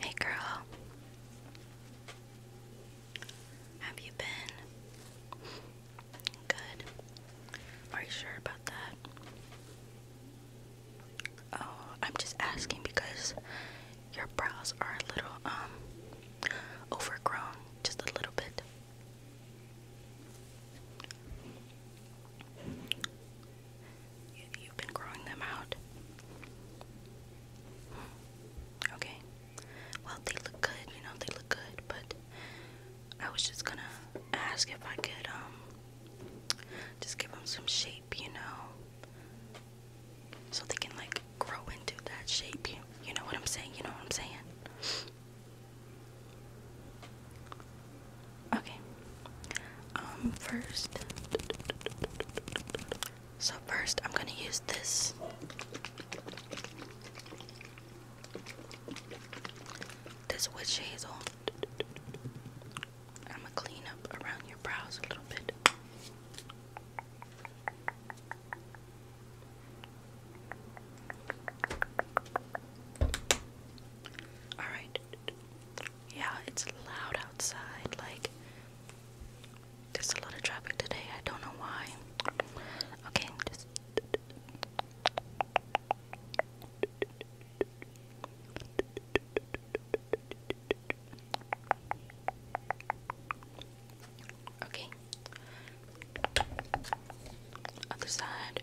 Hey girl, have you been good? Are you sure about that? Oh, I'm just asking because your brows are a little um overgrown, just a little bit. You, have been growing them out. Hmm. Okay. Well, they look good, you know, they look good, but I was just gonna ask if I could, um, just give them some shape, you know, so they can, like, grow into that shape. you know what I'm saying? You know what I'm saying? Okay. Um first So first I'm going to use this this witch hazel. I'm gonna clean up around your brows a little bit. Alright. Yeah, it's loud outside. Like, there's a lot of traffic today. I don't know why. Okay, just. Okay. Other side.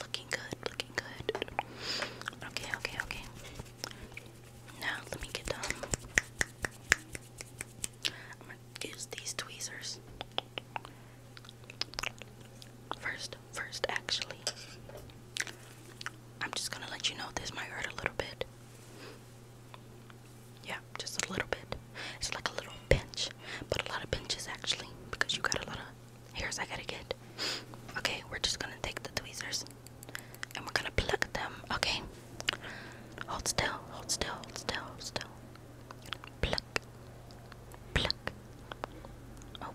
Looking good, looking good. Okay, okay, okay. Now let me get done. Um, I'm gonna use these tweezers. First, first, actually. I'm just gonna let you know this might hurt a little bit. Yeah, just a little bit. It's like a little pinch, but a lot of pinches actually, because you got a lot of hairs I gotta get. Okay, we're just gonna take the tweezers and we're gonna pluck them, okay? Hold still, hold still, hold still, hold still. Pluck, pluck. Oh,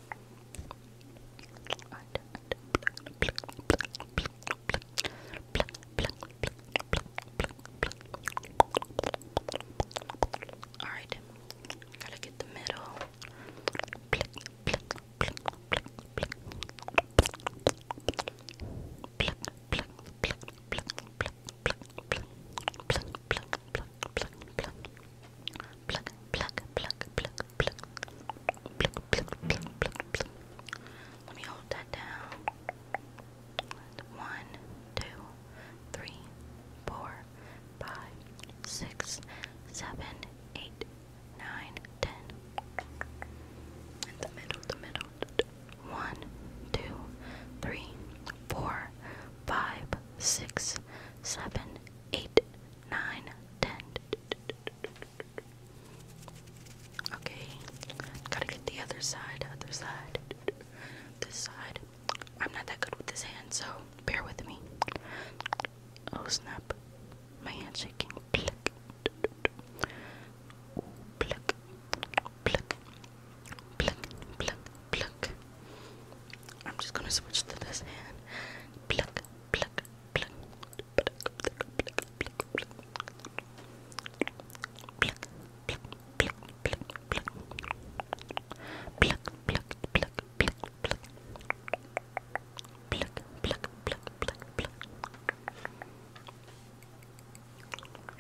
Alright, gotta get the middle. Pluck, pluck, pluck, pluck, let me hold that down. One, two, three, four, five, six, seven, eight, nine, ten. In the middle, the middle. One, two, three, four, five, six, seven, eight, nine, ten. Okay, gotta get the other side, other side, this side. I'm not that good with this hand, so bear with me. Oh snap, my hand's shaking. Pluck, pluck, pluck, pluck, pluck, pluck. I'm just gonna switch to this hand. Pluck,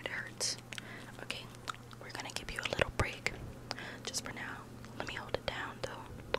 it hurts. Okay, we're gonna give you a little break just for now. Let me hold it down though.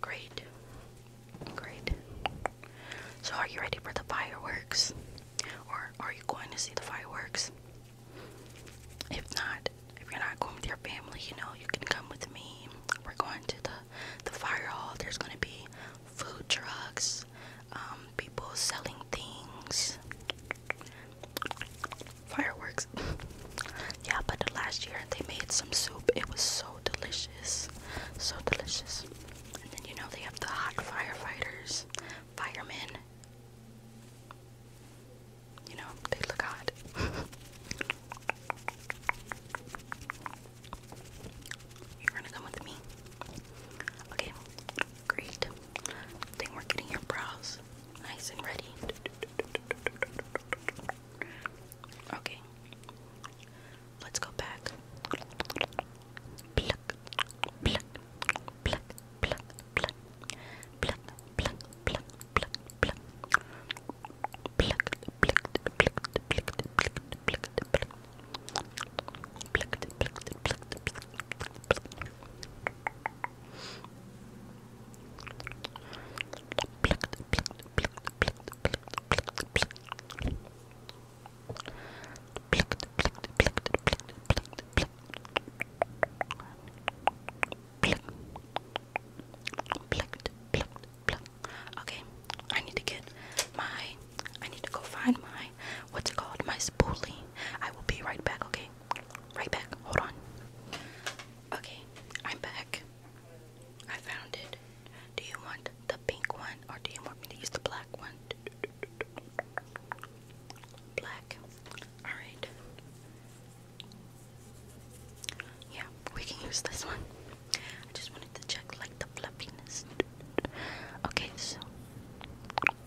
Great. Great. So, are you ready for the fireworks? Or are you going to see the fireworks? If not, if you're not going with your family, you know, you can come with me. We're going to the, the fire hall. There's going to be food trucks, um, people selling things fireworks. yeah, but last year they made some soup. It was so delicious, so delicious. And then you know they have the hot firefighters, firemen. You know they look hot. You're gonna come with me. Okay. Great. I think we're getting your brows nice and ready. Okay. Let's go back. Okay, I need to get my I need to go find my what's it called? My spoolie. I will be right back, okay? Right back. Hold on. Okay, I'm back. I found it. Do you want the pink one or do you want me to use the black one? Black. Alright. Yeah, we can use this one. I just wanted to check like the fluffiness. Okay, so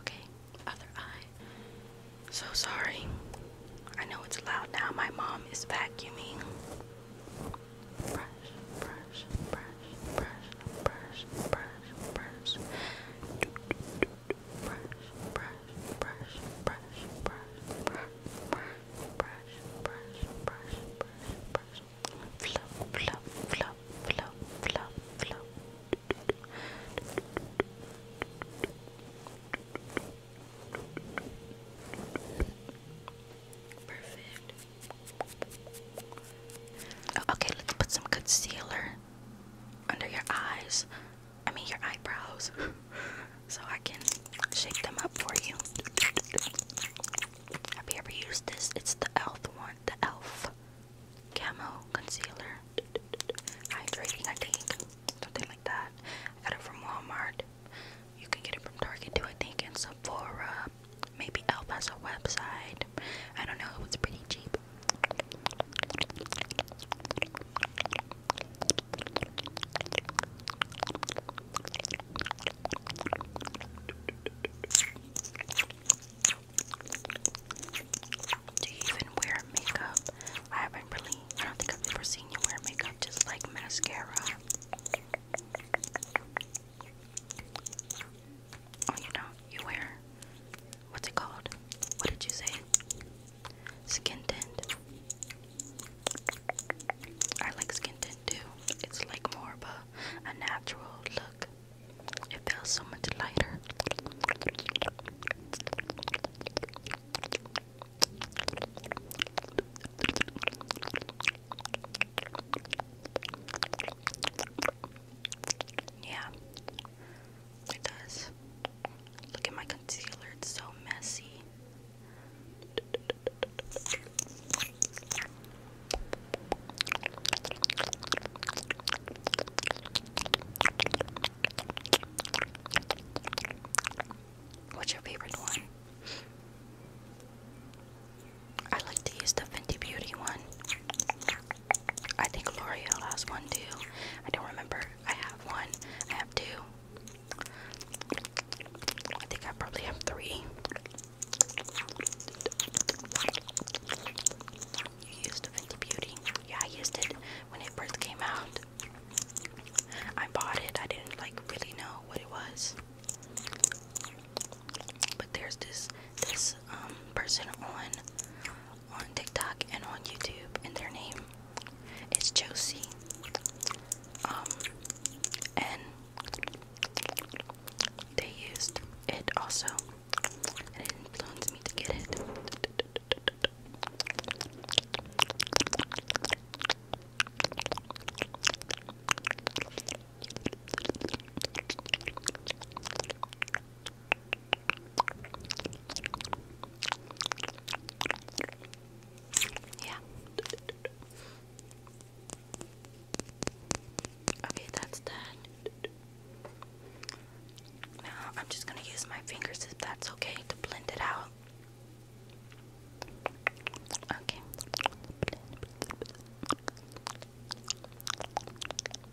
Okay, other eye. So sorry. I know it's loud now. My mom is vacuuming. Brush, brush, brush, brush, brush, brush, brush brush, brush, brush, brush, brush, brush, brush, brush, brush, brush, brush, brush, flop, flop, flop, flop, flop, Perfect. Okay, let's put some concealer under your eyes. I mean, your eyebrows. so I can shape them up for you. Have you ever used this? It's the ELF one. The ELF Camo Concealer. Hydrating, I think. Something like that. I got it from Walmart. You can get it from Target too, I think, and Sephora. Maybe ELF has a website. I don't know. It was pretty cheap. Do you even wear makeup? I haven't really, I don't think I've ever seen you wear makeup, just like mascara. Oh, you know, you wear what's it called? What did you say? Skin tint. I like skin tint too. It's like more of a, a natural look. It feels so much lighter. Yeah, it does. Look at my concealer, it's so messy. What's your favorite one? I like to use the Fenty Beauty one. I think L'Oreal has one too. I don't remember. I have one. I have two. I think I probably have three. You used Fenty Beauty. Yeah, I used it when it first came out. I bought it. I didn't like really know what it was but there's this this um person on on TikTok and on YouTube and their name is Josie. Um and they used it also and it influenced me to get it. Yeah. Okay, that's done. Now I'm just going to use my fingers if that's okay to blend it out. Okay.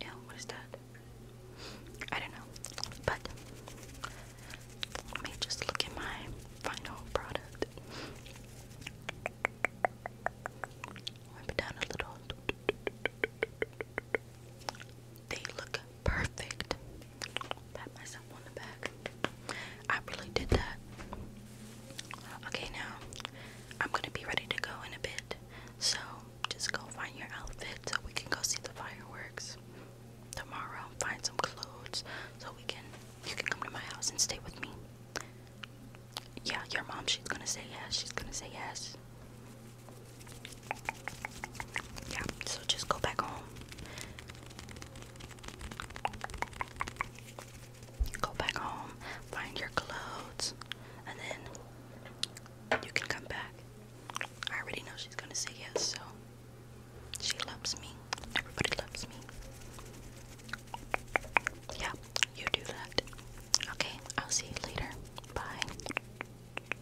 Yeah, what is that? I don't know, but let me just look at my final product. Wipe it down a little. They look Perfect. Pat myself on the back. I really did that. Okay, now I'm gonna be ready to go in a bit. So just go find your outfit so we can go see the fireworks tomorrow. Find some clothes so we can you can come to my house and stay with me. Yeah, your mom, she's gonna say yes. She's gonna say yes. Yeah, so just go back home. Go back home, find your clothes, and then you can come back. I already know she's gonna say yes, so she loves me. Everybody loves me. Yeah, you do that. Okay, I'll see you later. Bye.